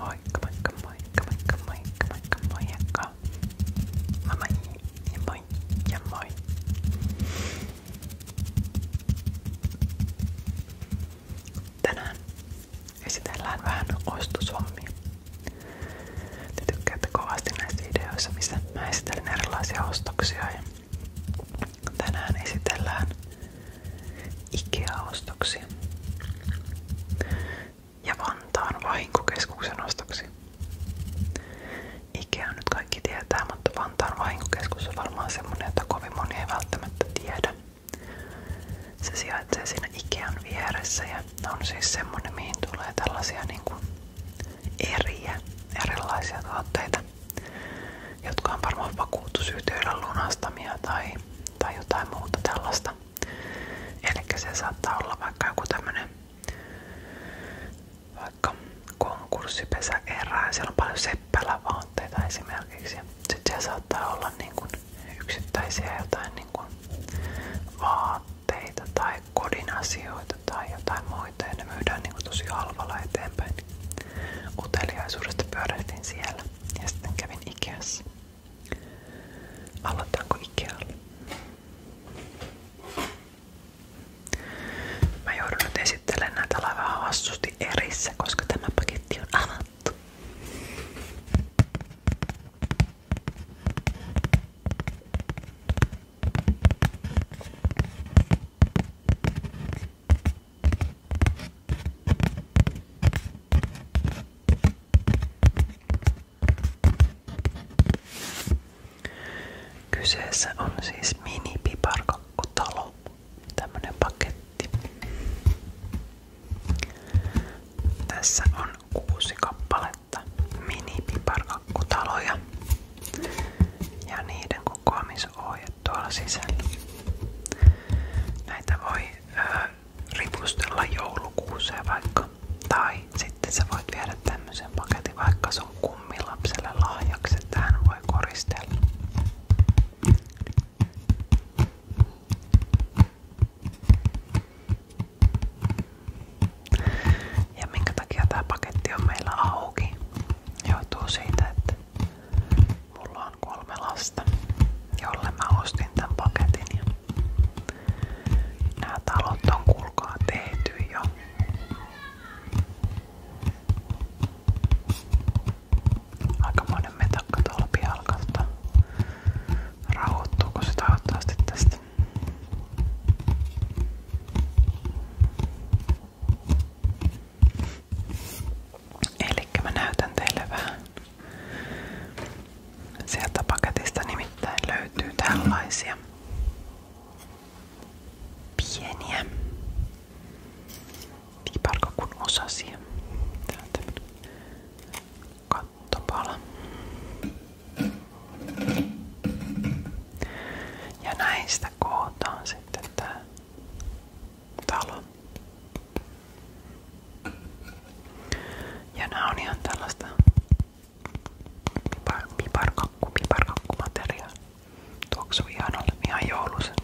Moikka, moikka, moikka, moikka, moikka, moikka, moikka. Mä moi ja moi ja moi. Tänään esitellään vähän ostoshommia. Te tykkäätte kovasti näissä videoissa, missä mä esittelen erilaisia ostoksia. Ja tänään esitellään IKEA-ostoksi ja Vantaan vahinkokeskuksen ostoksi. IKEA nyt kaikki tietää, mutta Vantaan vahinkokeskus on varmaan semmonen, jota kovin moni ei välttämättä tiedä. Se sijaitsee siinä Ikean vieressä ja on siis semmonen, mihin tulee tällaisia niin kuin eriä, erilaisia tuotteita jotka on varmaan vakuutusyhtiöillä lunastamia tai, tai jotain muuta tällaista. Eli se saattaa olla vaikka joku tämmönen vaikka konkurssipesä erää. Siellä on paljon seppälävaatteita esimerkiksi. Sitten siellä saattaa olla niin kuin yksittäisiä jotain niin kuin vaatteita tai kodin asioita tai jotain muita ja ne myydään niin kuin tosi halvalla eteenpäin. Niin Uteliaisuudesta pyörähdin siellä ja sitten kävin Ikeassa. Aloitanko Ikealla? Mä joudun nyt esittelemään näitä vähän vastusti erissä, koska tämä paketti on avattu. Kyseessä on siis mini-piparkakkutalo, tämmönen paketti. Tässä on kuusi kappaletta mini-piparkakkutaloja. Ja niiden kokoamisohje tuolla sisällä. Näitä voi ö, ripustella joulukuuseen vaikka. Tai sitten sä voit viedä tämmöisen paketin vaikka sun kummilapselle lahjaksi, että hän voi koristella. Ja minkä takia tämä paketti on meillä auki? Johtuu siitä, että Mulla on kolme lasta, jolle mä ostin tämän paketin. Ja nämä talot on kuulkaa tehty jo. Aikamoinen metakka tuolla pihalkalta. Rauhoittuuko se toivottavasti tästä? Eli mä näytän teille vähän. Sieltä paketista nimittäin löytyy tällaisia pieniä piparkakun osasia. Tää on tämmönen kattopala. Ja näistä kootaan sitten tää talon. Ja nämä on ihan tällaista piparkakku, piparkakkumateriaalia. Tuoksuu ihanalle, ihan joulusen.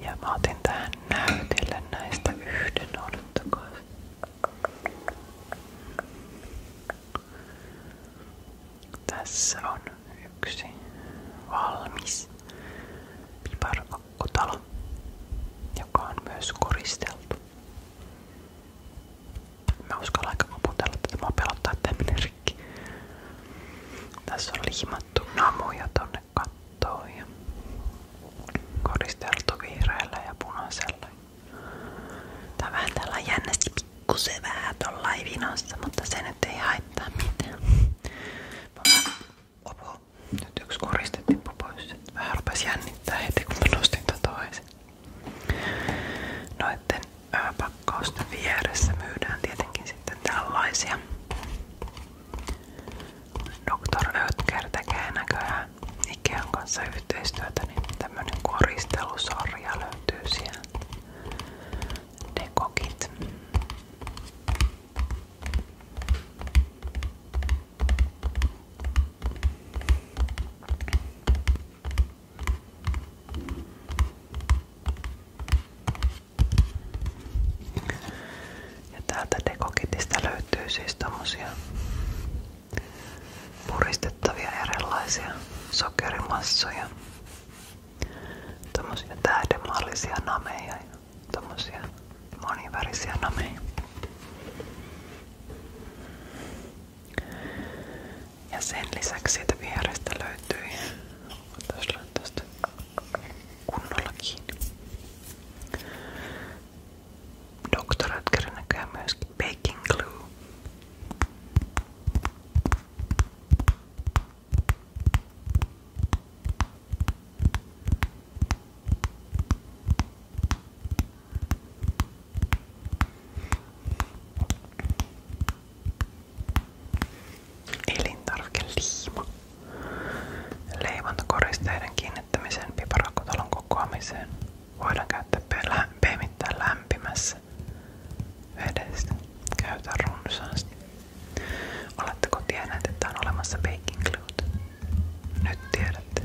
Ja mä otin tähän näytille näistä yhden, odottakaa. Tässä on yksi valmis piparkakkutalo, joka on myös koristeltu. Mä uskallan aika koputella, että mä pelottaa, että en kaikki. Tässä on liimattu namuja tonne kattoon ja koristeltu vihreällä ja punaisella. Tää on vähän täällä jännästi pikkusen vähän tollain vinossa, mutta se nyt ei haittaa mitään. Opo, nyt yksi koriste tippui pois. Vähän rupes jännittää heti kun mä nostin tätä toisen. Noitten pakkausten vieressä myydään tietenkin sitten tällaisia. Dr. Ötker tekee näköjään Ikean kanssa yhteistyötä, niin tämmönen koristelusarja löytyy siellä. Dekokit. Ja täältä dekokitistä löytyy siis tämmösiä puristettavia erilaisia sokerimassoja, tämmösiä tähdenmallisia nameja ja tämmösiä monivärisiä nameja. Ja sen lisäksi siitä vierestä löytyi tästä kunnolla kiinni. Dr. Edgarin näköjään myöskin baking glue elintarvikeliima. Leivantakoristeiden kiinnittämiseen piparakkotalon kokoamiseen voidaan käyttää pehmittää lämpimässä vedessä. Käytä runsaasti. Oletteko tienneet, että on olemassa baking gluet? Nyt tiedätte.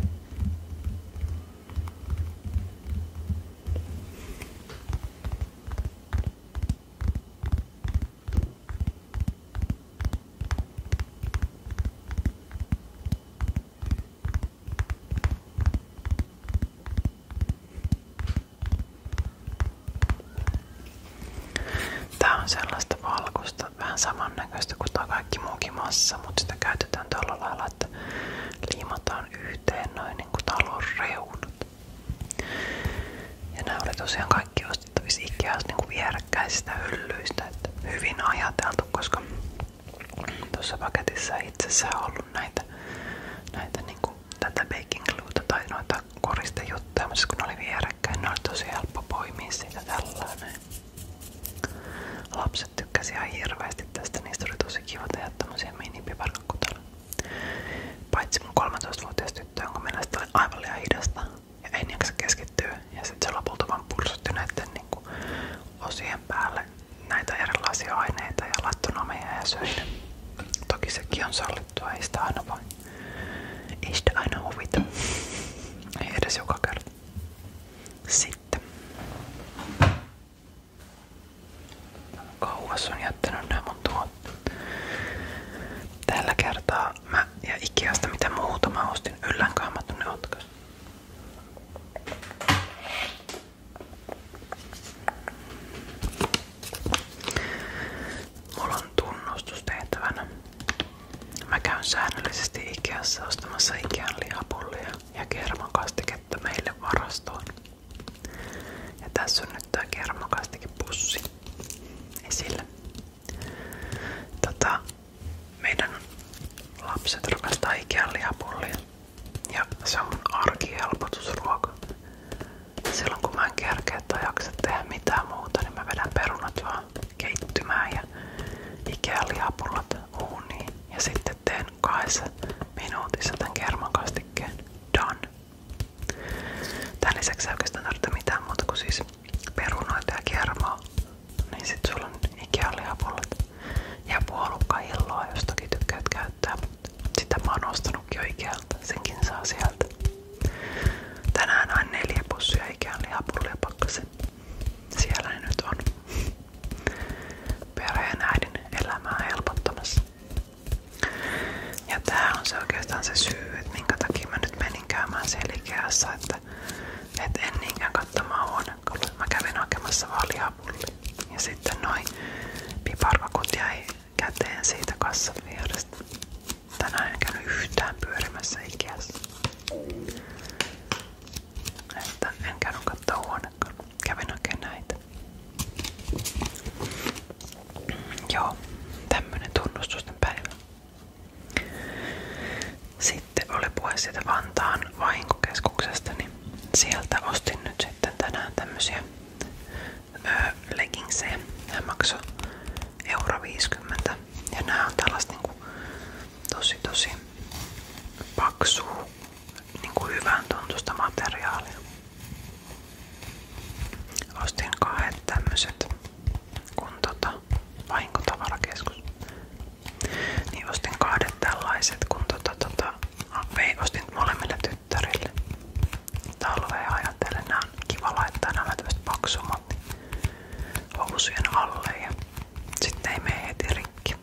Tää on sellaista valkoista, vähän samannäköistä kuin tää kaikki mutta sitä käytetään tällä lailla, että liimataan yhteen noin niin kuin talon reunat. Ja nämä oli tosiaan kaikki ostettavissa Ikeassa niin kuin vierekkäisistä hyllyistä. Että hyvin ajateltu, koska tuossa paketissa ei itsessään ollut näitä, näitä niin kuin, tätä baking gluta tai noita koristejuttuja, mutta kun ne oli vierekkäin, ne oli tosi helppo poimia siitä tällainen. Lapset tykkäsivät ihan hirveästi tästä, niistä oli tosi kiva tehdä tämmöisiä mini Paitsi mun 13-vuotias tyttö, jonka mielestä oli aivan liian hidasta ja ei jaksa keskittyä. Ja sitten se lopulta vaan pursutti näiden niinku osien päälle näitä erilaisia aineita ja lattonomeja ja söin. Toki sekin on sallittua, ei sitä aina voi. Ei sitä aina huvita. Ei edes joka kerta. Sitten. Kauas on jättänyt nämä mun tuotteet. Tällä kertaa mä ja Ikeasta mitä muuta mä ostin yllänkaammat ne otkas. Mulla on tunnustus tehtävänä. Mä käyn säännöllisesti Ikeassa ostamassa Ikean lihapullia ja kermakastiketta meille varastoon. Ja tässä on nyt tää kermakastikin pussi esillä. Tota, meidän lapset rakastaa ikään lihapullia. Ja se on mun arkihelpotusruoka. Silloin kun mä en kerkeä tai jaksa tehdä mitään muuta, niin mä vedän perunat vaan keittymään ja ikään lihapullat uuniin. Ja sitten teen kahdessa minuutissa tämän kermakastikkeen. Done. Tämän lisäksi ei oikeastaan tarvitse mitään muuta kuin siis perunoita ja kermaa. Niin sit sulla on ikialihapullat ja puolukkailloa, jos toki tykkäät käyttää. Sitä mä oon ostanutkin jo Ikealta, senkin saa sieltä. Tänään on neljä pussia Ikean lihapullia pakkasen. Siellä ne nyt on perheen äidin elämää helpottamassa. Ja tää on se oikeastaan se syy, että minkä takia mä nyt menin käymään selkeässä, että et en niinkään katsomaan huonekaluja. Mä kävin hakemassa vaan lihapullia. Ja sitten noin piparkakut jäi käteen siitä kassan vierestä. Tänään en käynyt yhtään pyörimässä ikässä. Että en käynyt katsoa huonekaluja kävin oikein näitä. Joo, tämmönen tunnustusten päivä. Sitten oli puhe siitä Vantaan vahinkokeskuksesta, niin sieltä ostin nyt sitten tänään tämmösiä öö, leggingsejä. Nämä maksoi euro 50. Ja nämä on tällaista niinku tosi tosi paksua niinku hyvän tuntusta materiaalia. Ostin kahdet tämmöset, kun tota, vahinkotavarakeskus. Niin ostin kahdet tällaiset, kun tota, tota, vei, ostin molemmille tyttärille. Talveen ajatellen, nää on kiva laittaa nämä tämmöset paksummat niin housujen alle ja sitten ei mene heti rikki.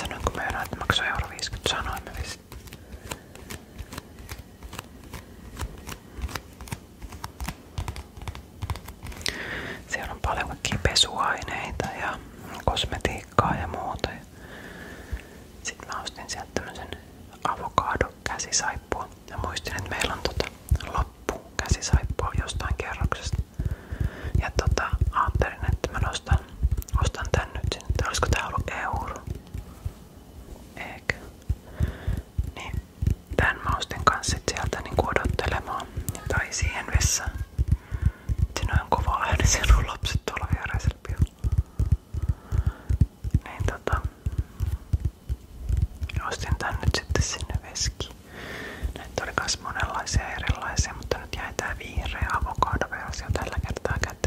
Sanoinko mä enää, että maksoi euro 50? Sanoin mä vist. Siellä on paljon kaikkia pesuaineita ja kosmetiikkaa ja muuta. Sitten mä sieltä tämmösen avokado käsisaippua ja muistin, että meillä on tota loppu käsisaippua jostain kerroksesta. Ja tota, ajattelin, että mä nostan, ostan tän nyt sinne. Olisiko tää euro? Eikä. Niin, tän mä ostin kans niin odottelemaan. Tai siihen Siinä on kova ääni, siellä on lapset tuolla viereisellä pihalla. Niin tota, ostin tän nyt sitten sinne veski. Näitä oli myös monenlaisia erilaisia, mutta nyt jäi tää vihreä avokadoversio tällä kertaa käteen.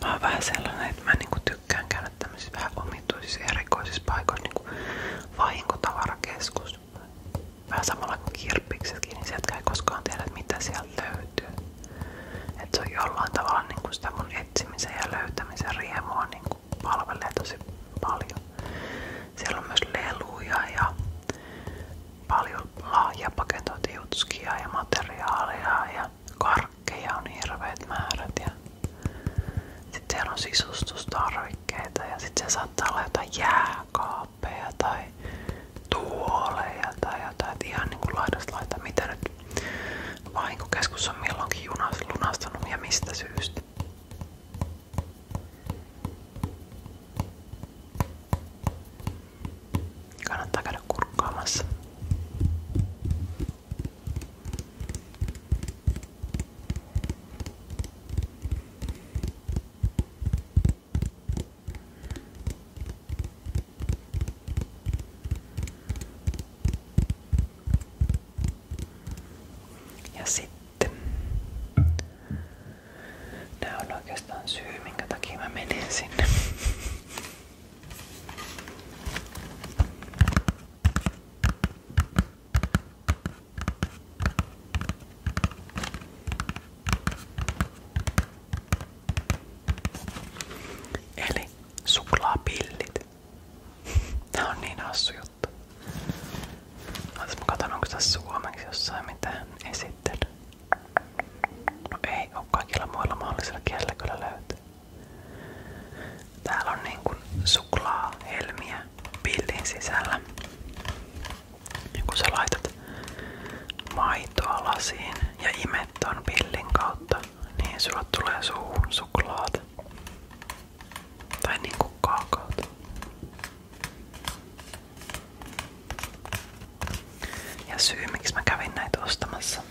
Mä oon vähän mä niinku tykkään käydä tämmöisissä vähän omituisissa ja erikoisissa paikoissa, niinku vaihinkotavarakeskus. Vähän samalla kuin kirppiksetkin, niin sieltä ei mitä sieltä löytyy. Et se on jollain tavalla niinku sitä mun etsimisen ja löytämisen riemua. Niinku Niinku palvelee tosi paljon. Siellä on myös leluja ja paljon lahja paketointijutskia ja materiaalia ja karkkeja on hirveät määrät. Ja sitten siellä on sisustustarvikkeita ja sitten se saattaa olla jotain jääkaappeja tai tuoleja tai jotain, että ihan niinku laidasta laita, mitä nyt Vahinkokeskus on milloinkin junas lunastanut ja mistä syystä. Kannattaa käydä kurkkaamassa. Ja sitten nää on oikeastaan syy, minkä Eli suklaapillit. Tää on niin hassu juttu. Ootas mä katon onko tässä suomeksi jossain mitään esittely. No ei oo kaikilla muilla mahdollisilla kielillä kyllä löytyy. Täällä on niinku suklaa, helmiä pillin sisällä. Ja kun sä laitat maitoa lasiin ja imet ton pillin kautta, niin, sulla tulee suuhun suklaata. Tai niinku kaakaota. Ja syy miksi mä kävin näitä ostamassa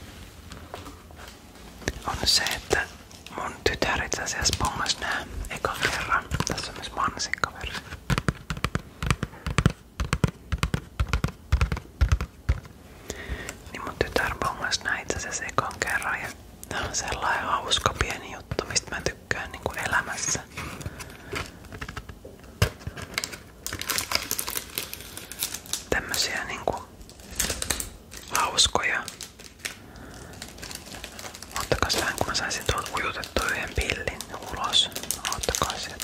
on se, että mun tytär itse asiassa pongas nää ekan kerran. Tässä on myös mansikkaversio. Niin mun tytär bongas näin itse asiassa ekan kerran ja tää on sellainen hauska pieni juttu, mistä mä tykkään niin kuin elämässä. Tämmösiä niinku hauskoja. Ottakas vähän kun mä saisin tuon ujutettua yhden pillin ulos. Ottakaa sieltä.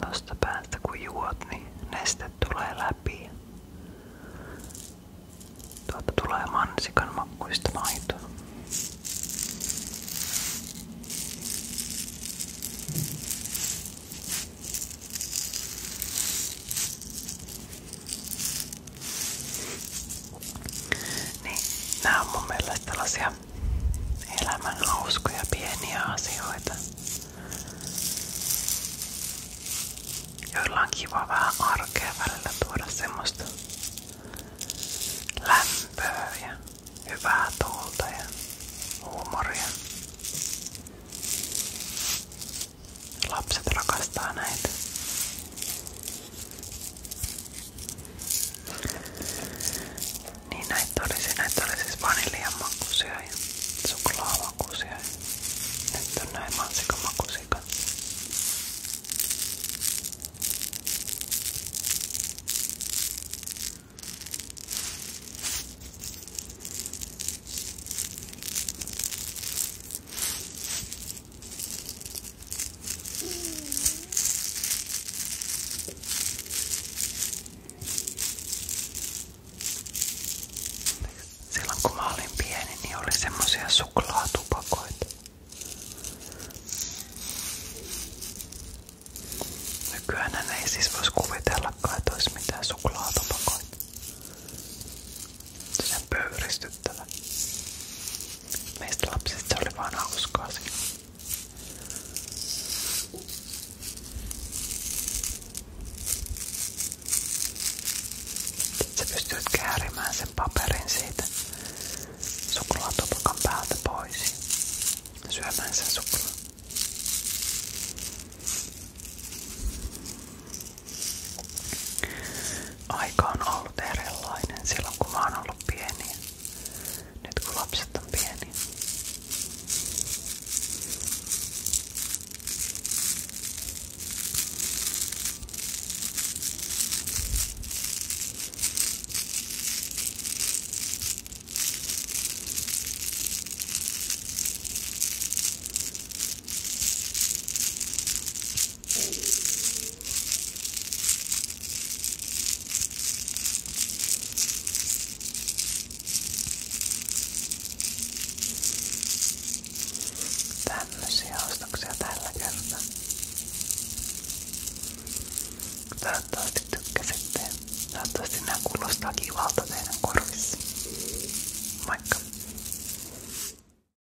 Tosta päästä kun juot, niin neste tulee läpi. tulee mansikan makkuista maitoa. Niin, nämä on mun elämän hauskoja pieniä asioita, joilla on kiva vähän arkea välillä tuoda semmoista lämpöä ja hyvää tuulta ja huumoria. Lapset rakastaa näitä. Niin näitä olisi, näitä oli siis vaniljamakuisia ja suklaamakuisia ja nyt on näin mansikamakuisia kanssa. Silloin kun mä olin pieni, niin oli semmoisia suklaatupakoita. Nykyään ei siis voisi kuvitellakaan, että olisi mitään suklaatupakoita. Se sinä pöyristyttävä. Meistä lapsista se oli vaan hauskaa siinä. Sitten sä pystyt käärimään sen paperin siitä suklaatupakan päältä pois. Syömään sen suklaa aika on ollut erilainen silloin kun mä oon ollut pieni. Nyt kun lapset on pieni. Tämmöisiä ostoksia tällä kertaa. Toivottavasti tykkäsitte. Toivottavasti nämä kuulostaa kivalta teidän korvissa. Moikka!